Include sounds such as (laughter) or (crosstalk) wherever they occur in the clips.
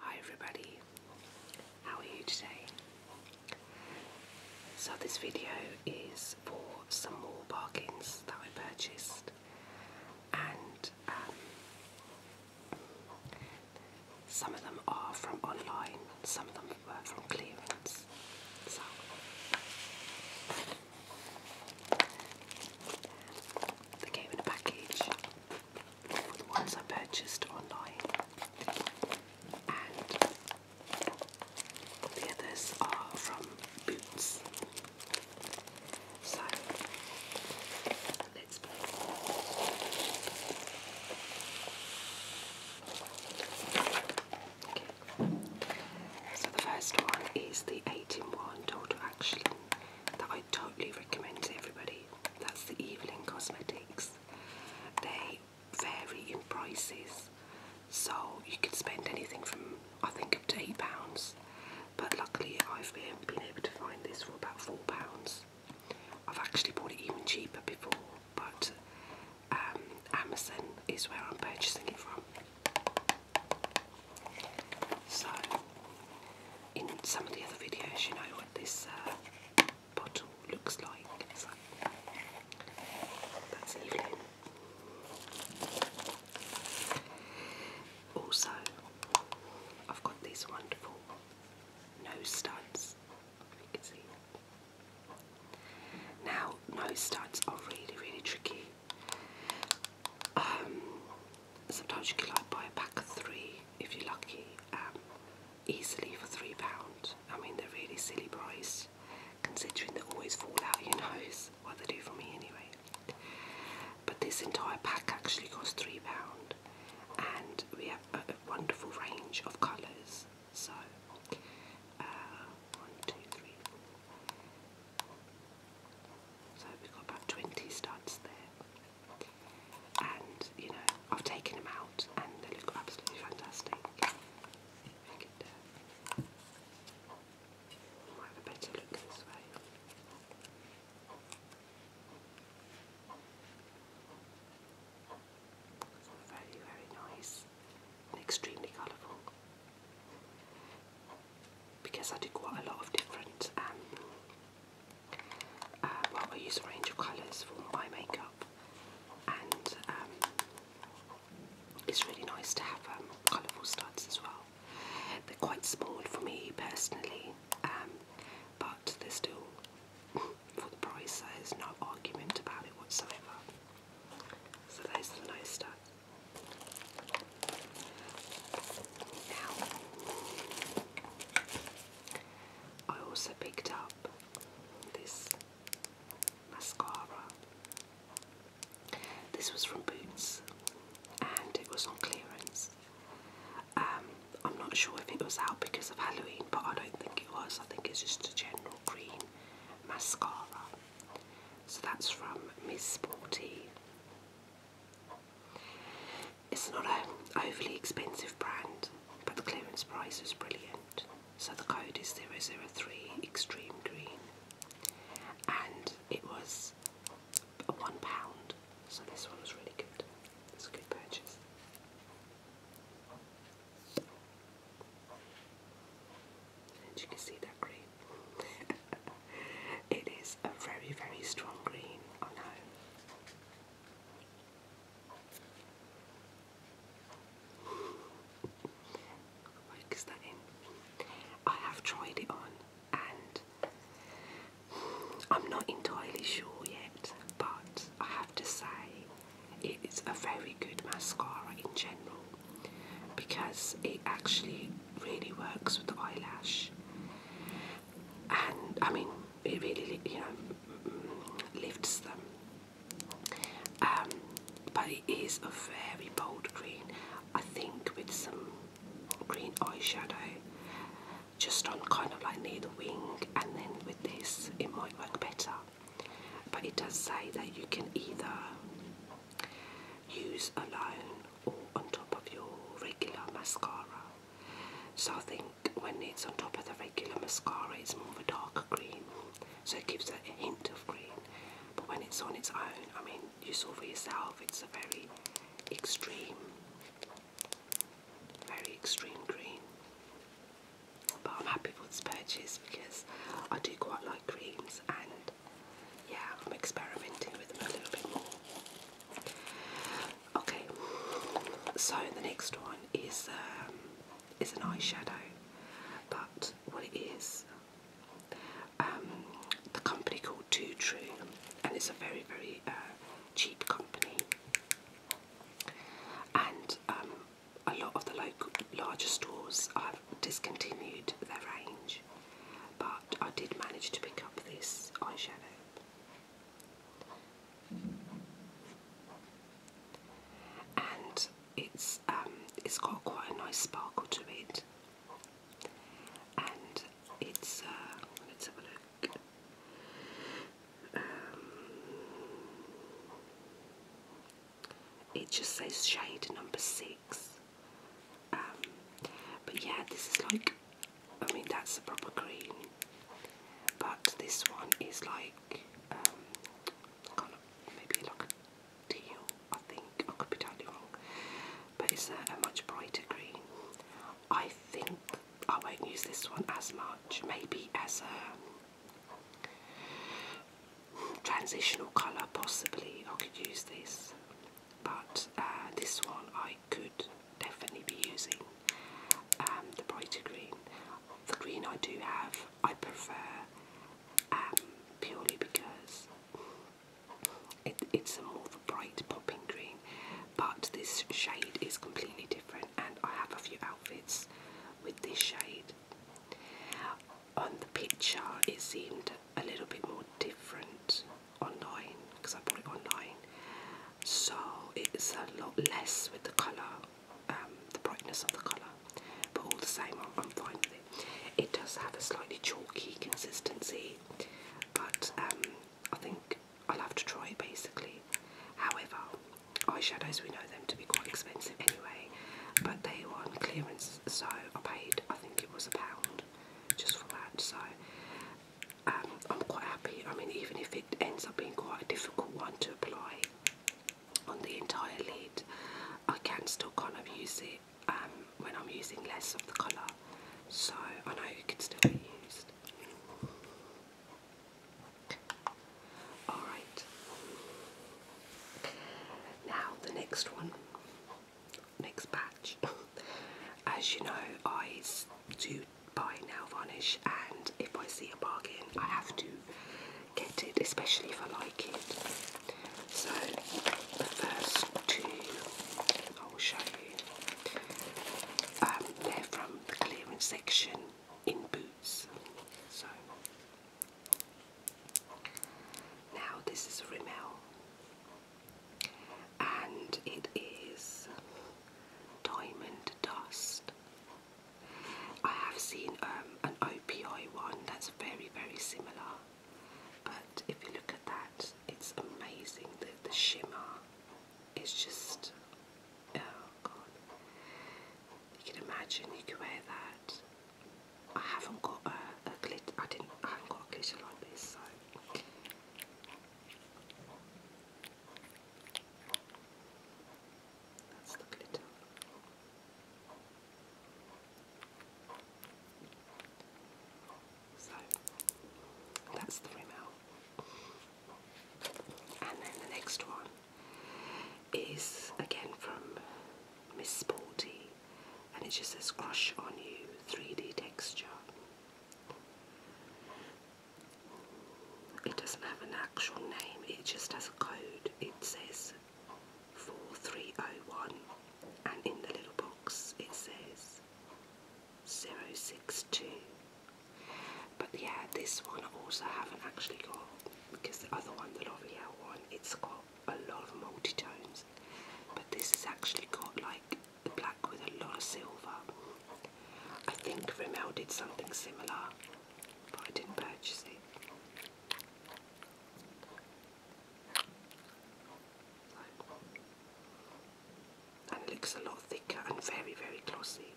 Hi everybody, how are you today? So this video is for some more bargains that I purchased and um, some of them are from online, some of them were from clearance. They came in a package the ones I purchased online, and the others are from Boots. So let's play. Okay. So the first one is the 8 in 1 Total Action that I totally recommend to everybody. That's the Evelyn Cosmetics. They vary in prices, so you can spend anything from I think up to eight pounds. But luckily, I've been, able to find this for about four pounds. I've actually bought it even cheaper before, but um, Amazon is where I'm purchasing it from. So, in some of the other videos, you know what this uh, bottle looks like. that's Evelyn. Also, I've got these wonderful nose studs. Now, nose studs are really, really tricky um, sometimes you can like buy a pack of three if you're lucky, um, easily for three pounds. I mean they're really silly price, considering they always fall out. You know, (laughs) what they do for me anyway. But this entire pack actually costs three pound, and we have a, wonderful range of colours. So, uh, So we've got about twenty studs there and you know I've taken them out and they look absolutely fantastic. Uh, might have a better look this way. Very, very nice and extremely colourful because I do quite a lot of different, um, uh, well I use a range of colours for my makeup and um, it's really nice to have um, colourful studs as well. They're quite small for me personally um, but they're still (laughs) for the price there's no argument about it whatsoever. So those are the nice studs. Now, I also picked up this mascara. This was from Boots and it was on clearance. Um, I'm not sure if it was out because of Halloween, but I don't think it was. I think it's just a general green mascara. So that's from Miss Sporty. It's not an overly expensive brand, but the clearance price is brilliant. So the code is 003 Extreme Green, and it was £1, so this one was really good. It's a good purchase. And you can see that green. (laughs) it is a very, very strong green, I know. Focus that in. I have tried it on and I'm not entirely sure yet, but I have to say it's a very good mascara in general because it actually really works with the eyelash and I mean, it really, you know, mm, lifts them. Um, but it is a very bold green. I think with some green eyeshadow, just on kind of like near the wing, and then with this, it might work better. But it does say that you can either use alone or on top of your regular mascara. So I think when it's on top of the regular mascara, it's more of a darker green, so it gives a hint of green. But when it's on its own, I mean, you saw for yourself, it's a very extreme, very extreme green. But I'm happy with this purchase because I do quite like greens and yeah, I'm experimenting with them a little bit more. Okay, so the next one is um, is an eyeshadow, but what it is, um, the company called Too True, and it's a very very uh, cheap company, and um, a lot of the local larger stores have discontinued their range, but I did manage to pick up this eyeshadow and it's um, it's got quite a nice sparkle to it, and it's uh, let's have a look. Um, it just says shade number six. Um, but yeah, this is like I mean that's the proper green, but this one is like um, kind of maybe like a teal. I think I could be totally wrong, but it's a, much brighter green. I think I won't use this one as much. Maybe as a transitional colour, possibly I could use this, but uh, this one I could definitely be using um, the brighter green. The green I do have, I prefer um, purely because it's a more of a bright popping green, but this shade is completely different, and I have a few outfits with this shade. On the picture, it seemed a little bit more different online because I bought it online. So it's a lot less with the colour, um, the brightness of the colour, but all the same, I'm, fine with it. It does have a slightly chalky consistency, but um, I think I'll have to try it basically. However, eyeshadows we know them to be quite expensive anyway, but they were on clearance, so I paid I think it was a pound just for that. So um, I'm quite happy. I mean, even if it ends up being quite a difficult one to apply on the entire lid, I can still kind of use it um, when I'm using less of the colour. So I know it can still be used. Alright. Now the next one, next batch. (laughs) As you know, eyes do buy nail varnish and if I see a bargain I have to get it, especially if I like it. So the first two I will show you. Um, they're from the clearance section in Boots. So now this is a Rimmel and it is diamond dust. I have seen um, an OPI one that's very, very similar, but if you look at that, it's amazing. The, shimmer is just oh god, you can imagine you can wear that. I haven't got a, a glitter. I didn't. I haven't got a glitter like this. So that's the glitter. So that's the Rimmel. And then the next one is again from Miss Sporty and it just says Crush on You 3D Texture. It doesn't have an actual name, it just has a code. It says 4301 and in the little box it says 062. But yeah, this one I also haven't actually got because the other one, the L'Oreal one, it's got a lot of multi But this has actually got like black with a lot of silver. I think Rimmel did something similar, but I didn't purchase it. And looks a lot thicker and very, very glossy.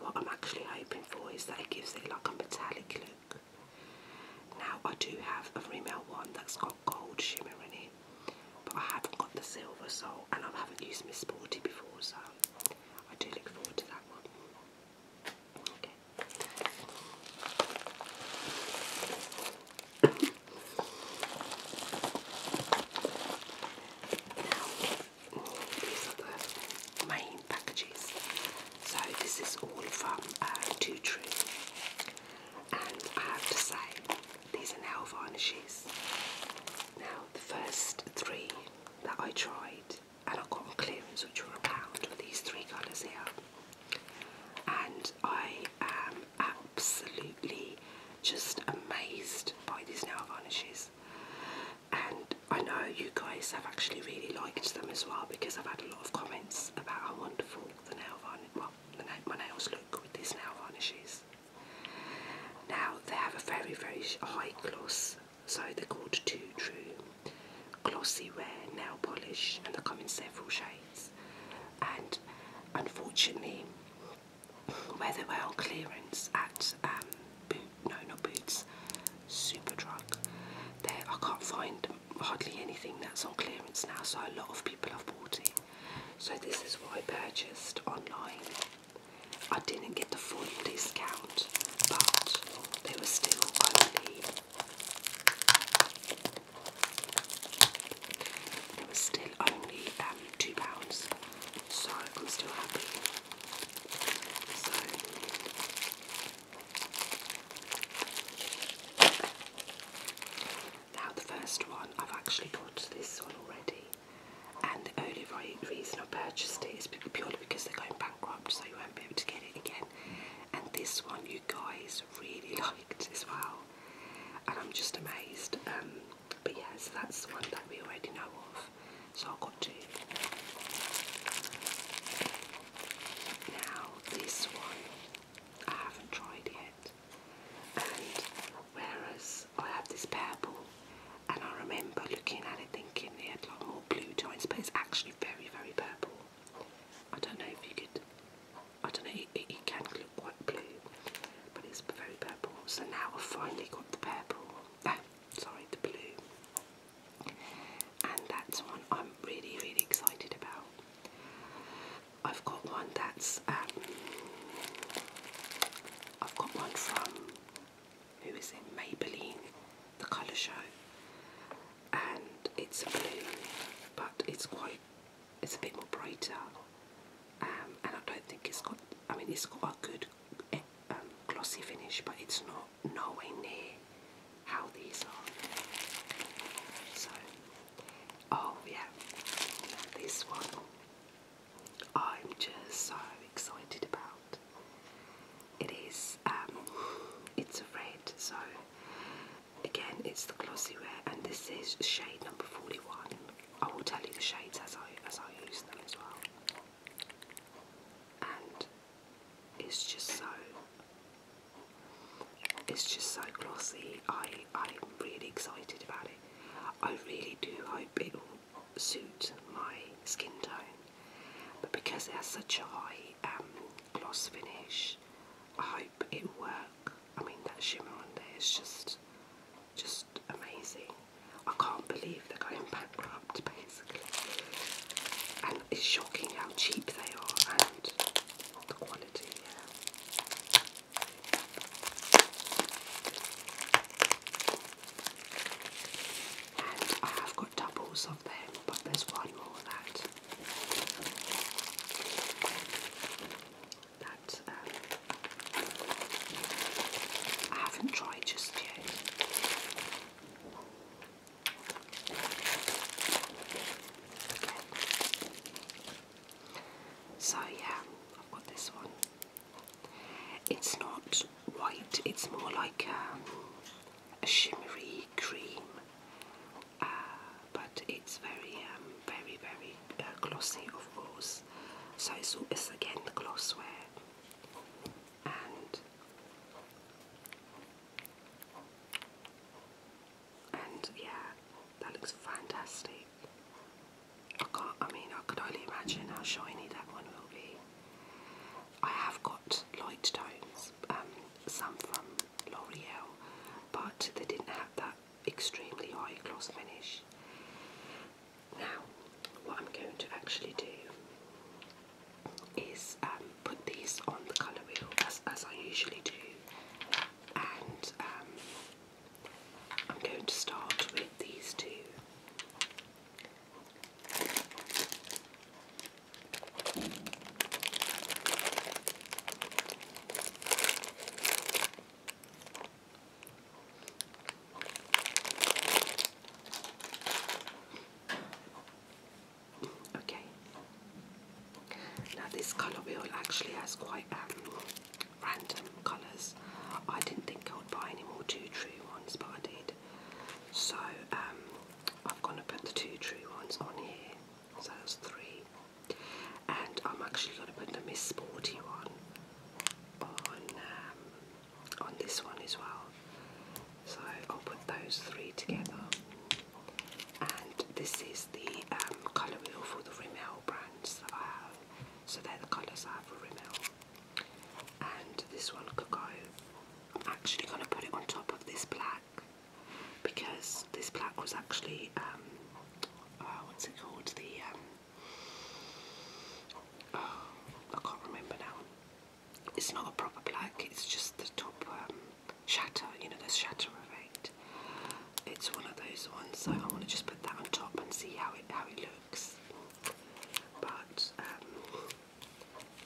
What I'm actually hoping for is that it gives it like a metallic look. Now I do have a Rimmel one that's got gold shimmer in it but I haven't got the silver, so and I haven't used Miss Sporty before, so I do look forward to that one. Okay. these are the main packages. So this is all from uh, True, and I have to say these are nail varnishes. Now, the first three that I tried and I got on which were a pound, were these three colours here. And I am absolutely just amazed by these nail varnishes. And I know you guys have actually really liked them as well because I've had a lot of comments about how wonderful the nail varnish, well, the my nails look with these nail varnishes. Now they have a very very high gloss, so they're called Two True Glossy Wear Nail Polish, and they come in several shades. And unfortunately, where they were on clearance at Boots, um, boot, no not Boots, Superdrug, there I can't find hardly anything that's on clearance now. So a lot of people have bought it. So this is what I purchased online. I didn't get the full discount, but they were still only they were still only um two pounds, so I'm still happy. Now the first one, I've actually got this one already, and the only reason I purchased it is purely because they're going bankrupt, so you won't be able to get it again. And this one, you guys really (laughs) liked as well, and I'm just amazed. Um, but yes, that's the one that we already know of, so I've got two. Now this one, I haven't tried yet, and whereas I have this purple and I remember looking at it thinking it had a lot more blue joints but it's actually very very purple. I don't know if you could, I don't know, it, it, can look quite blue but it's very purple. So now I've finally got the purple, no, sorry the blue and that's one I'm really really excited about. I've got one that's um, I've got one from who is in Maybelline, the colour show, and it's a blue, but it's quite, it's a bit more brighter, um, and I don't think it's got. I mean, it's got a good eh, um, glossy finish, but it's not nowhere near how these are. So, oh yeah, this one I'm just so excited about. It is, um, it's a red, so again, it's the glossy wear, and this is shade number 41. I will tell you the shades as I as I use them as well. And it's just so it's just so glossy. I I'm really excited about it. I really do hope it will suit my skin tone, but because it has such a high um, gloss finish, I hope it will work. I mean that shimmer on there is just, just amazing. I can't believe they're going bankrupt (laughs) basically, and it's shocking how cheap they are and the quality. Yeah. I have got doubles of them, but there's one more that. Um, I haven't tried just yet. So yeah, I've got this one. It's not white, it's more like um, a shimmery cream, uh, but it's very, um, very, very uh, glossy, of course. So it's, it's again the gloss wear. And and yeah, that looks fantastic. I can't, I mean, I could only imagine how shiny that one will be. I have got light tones, um, some from L'Oreal, but they didn't have that extremely high gloss finish. Now, what I'm going to actually do is um, put these on the colour wheel as, I usually do, and um, I'm going to start with these two. Okay. Now this colour wheel actually has quite um, random colours. I didn't think I would buy any more two true ones, but I did. So um, I've gone to put the two true ones on here. So that's three. And I'm actually going to put the Miss Sporty one on um, on this one as well. So I'll put those three together. And this is the um, colour wheel for the Rimmel brands that I have. So they're the colours I have for Rimmel and this one could go. I'm actually going to put it on top of this black because this black was actually um, uh, what's it called? The um, oh, I can't remember now. It's not a proper black. It's just the top um, shatter. You know, the shatter effect. It's one of those ones. So I want to just put that on top and see how it how it but um,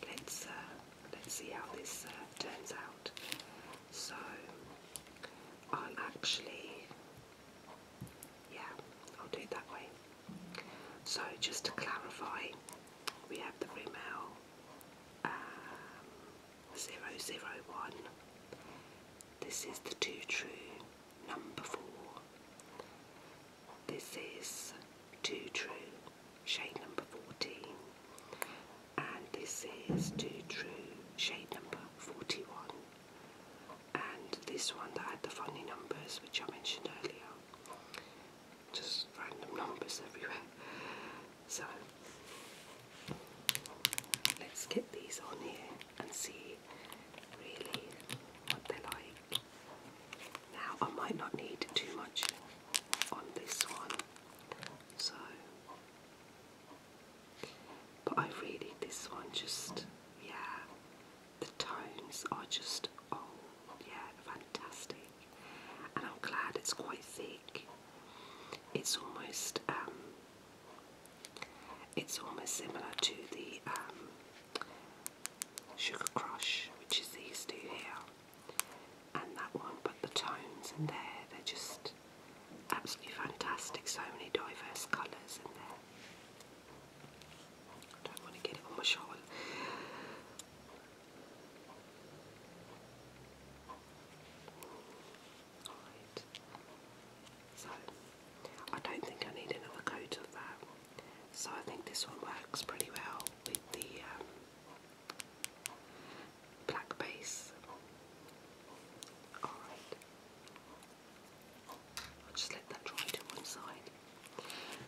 let's uh, let's see how this uh, turns out. So I'll actually, yeah, I'll do it that way. So just to clarify, we have the Rimmel um, 001. This is the Two True number four. This is Too True, shade number 14. And this is Too True, shade number 41. And this one that had the funny numbers, which I mentioned earlier. Just random numbers everywhere. So, let's get these on here and see really what they like. Now I might not need too much on this one, so but I really this one just yeah the tones are just oh yeah fantastic and I'm glad it's quite thick. It's almost um, it's almost similar to the um, Sugar Crush, which is these two here, and that one, but the tones in there, they're just absolutely fantastic. So many diverse colours in there. don't want to get it on my shawl. Right. So I don't think I need another coat of that. So I think this one works pretty well with the um, black base. Alright. I'll just let that dry to one side.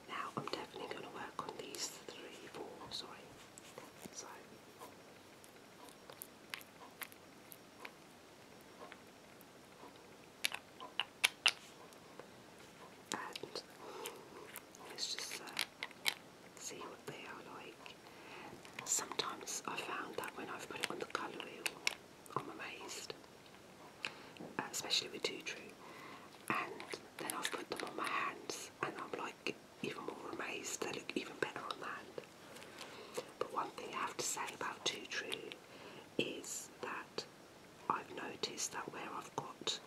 Now I'm definitely going to work on these three, four, sorry. So. And let's just uh, see what they are like. Sometimes I found that when I've put it on the colour wheel, I'm amazed, uh, especially with Two True. And then I've put them on my hands, and I'm like even more amazed. They look even better on the hand. But one thing I have to say about Two True is that I've noticed that where I've got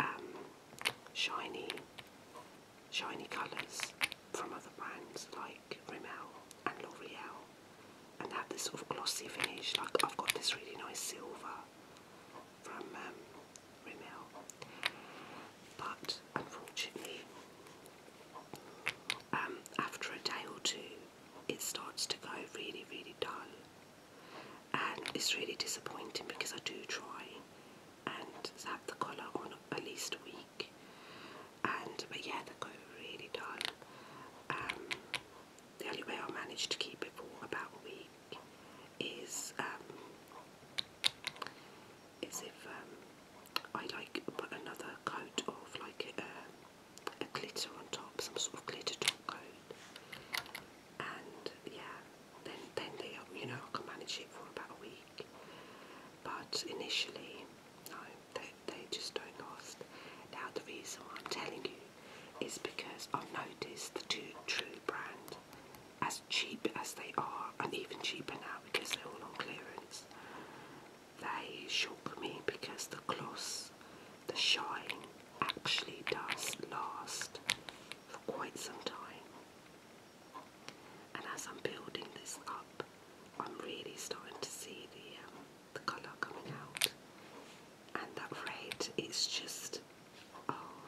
um, shiny, shiny colours from other brands like Rimmel and L'Oreal, and have this sort of glossy finish, like I've got this really nice silver from um, Rimmel, but unfortunately, um, after a day or two, it starts to go really, really dull. And it's really disappointing because I do try and have the colour on at least a week. And but yeah, they go really dull. Um, the only way I manage to keep it for about a week is um, is if um, I like put another coat of like a glitter on top, some sort of glitter top coat, and yeah, then then they you know I can manage it for about a week, but initially no, they they just don't last. Now the reason why I'm telling you is because I've noticed the two True brand, as cheap as they are, and even cheaper now because they're all on clearance they shook me because the gloss, the shine, actually does last for quite some time. And as I'm building this up, I'm really starting to see the um, the colour coming out. And that red is just, oh,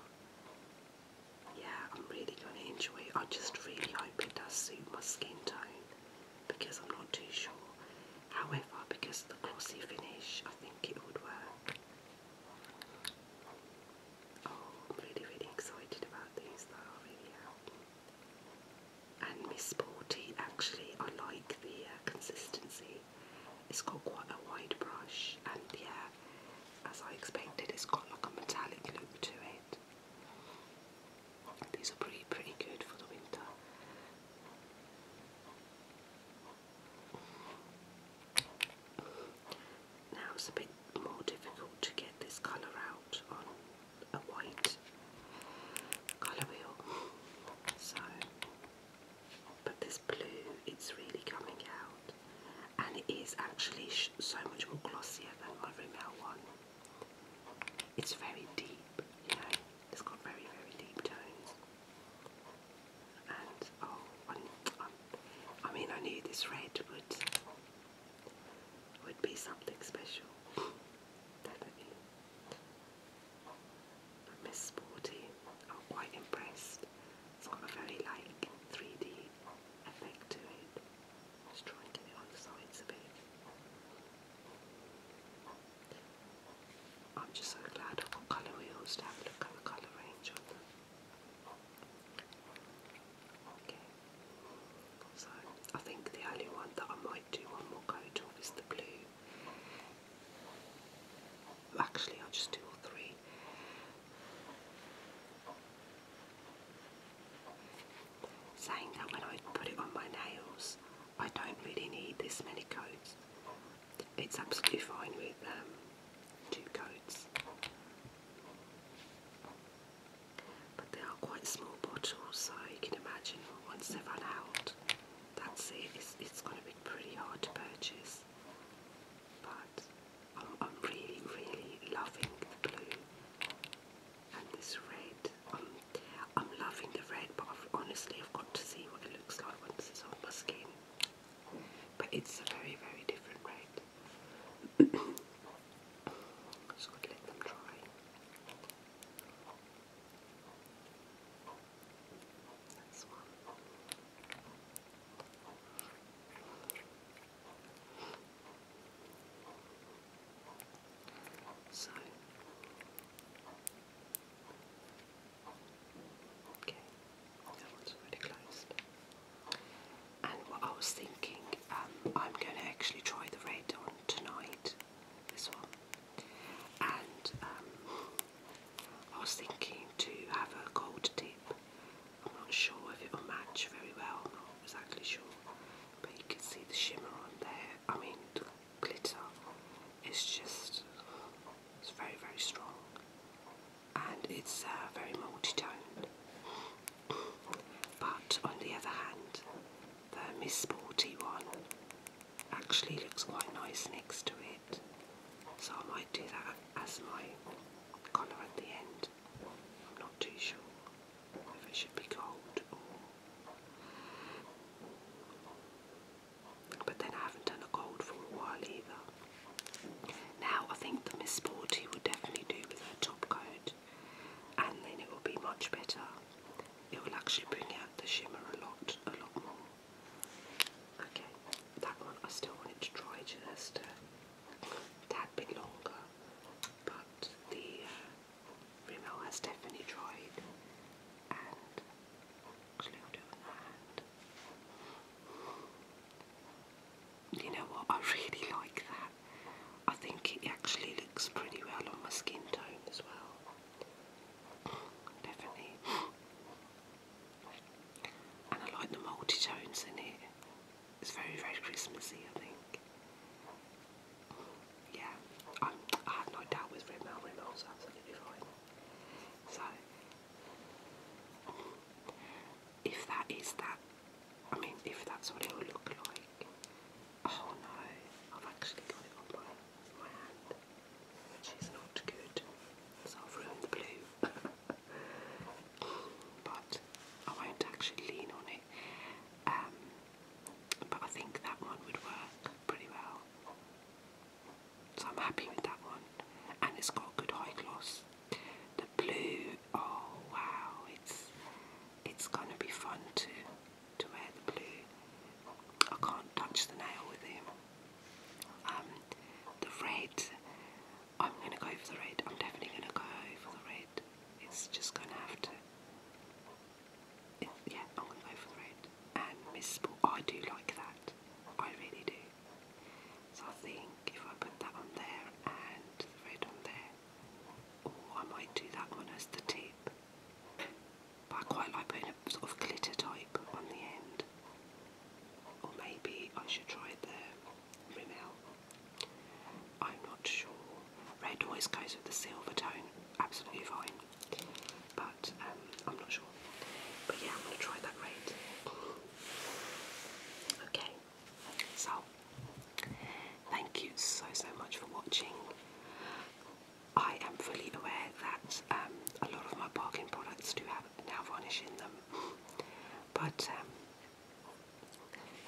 yeah, I'm really going to enjoy it. I just really hope it does suit my skin tone because I'm not too sure. However, because of the glossy finish, I think it would work. Oh, I'm really, really excited about these though, really And Miss Sporty, actually, I like the uh, consistency. It's got quite a wide brush, and yeah, as I expected, it's got like a metallic look to it. These are pretty, pretty good for the winter. Now it's a bit more difficult to get this colour out on a white colour wheel. So, but this blue, it's really coming out. And it is actually so much more glossier than my Rimmel one. It's very deep, you know, it's got very, very deep tones. And oh, i mean, I knew this red would would be something special, definitely. (laughs) Miss Sporty, I'm quite impressed. It's got a very like 3D effect to it. Just try and get it on the a bit. I'm just so glad I've got colour wheels to have a look at the colour range on them. Okay, so I think the only one that I might do one more coat of is the blue. Actually, I'll just do three. Saying that when I put it on my nails, I don't really need this many coats. It's absolutely fine with um, two coats. But they are quite small bottles, so you can imagine once they run out, that's it. It's, going to be pretty hard to purchase. But I'm, really, really loving the blue and this red. I'm loving the red, but I've, honestly, I've got to see what it looks like once it's on my skin. But it's a very, very different red. so (coughs) I'd let them try. So Okay, that one's already closed. And I was thinking, um, I'm going to actually try the red on tonight, this one. And um, I was thinking to have a gold tip. I'm not sure if it will match very well, I'm not exactly sure. But you can see the shimmer on there. I mean, glitter is just it's very very strong and it's uh, very multi-toned but on the other hand the Miss Sporty one actually looks quite nice next to it so I might do that as my colour at the end I'm not too sure if it should be gold or but then I haven't done a cold for a while either. Now I think the Miss Sporty would definitely do with her top coat, and then it will be much better. It will actually bring out the shimmer a lot, a lot more. Okay, that one I still wanted to try just a bit longer, but the uh, Rimmel has definitely tried, you know what? I really like that. I think it actually looks pretty well on my skin tone as well. Definitely. I like the multi in it. It's very, very Christmassy, I think. Yeah, i have no doubt with Rimmel. Rimmel's absolutely fine. So, if that is that, I mean, if that's what it will look like, oh no, I've actually got it on my, hand, which is not good, so I've ruined the blue. (laughs) but I won't actually lean on it. Um, but I think that one would work pretty well. So I'm happy with that one. And it's got good high gloss. The blue, oh wow, it's it's gonna be fun to to wear the blue. I can't touch the nail with him. Um, the red, I'm gonna go for the red. I'm definitely gonna go for the red. It's just gonna have to yeah, I'm gonna go for the red. And Miss Sport, oh, I do like that. I really do. So I think if I put that on there and the red on there, or oh, I might do that one as the tip. But I quite like putting a sort of glitter type on the end. Or maybe I should try the Rimmel. I'm not sure. Red always goes with the silver tone, absolutely fine but um, I'm not sure. But yeah, I'm going to try that rate. Okay, so thank you so so much for watching. I am fully aware that um, a lot of my bargain products do have now varnish in them, but um,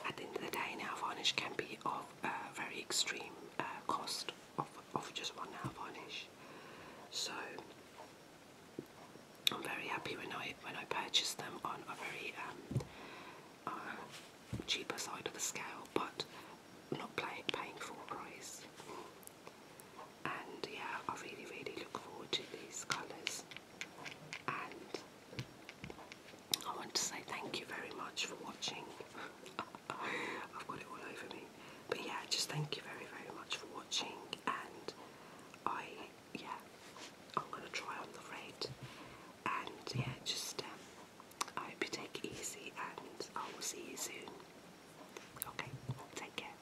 at the end of the day, now varnish can be of a very extreme uh, cost of, of just one now varnish. So I'm very happy when I when I purchased them on a very um, uh, cheaper side of the scale, but not play, paying full price. And yeah, I really really look forward to these colours. And I want to say thank you very much for watching. (laughs) I've got it all over me. But yeah, just thank you very, very much for watching. And I, yeah, I'm gonna try on the red. And yeah, just um, I hope you take it easy, and I will see you soon. Okay, take care.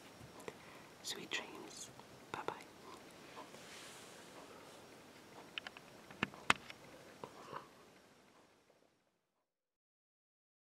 Sweet dreams. Bye bye.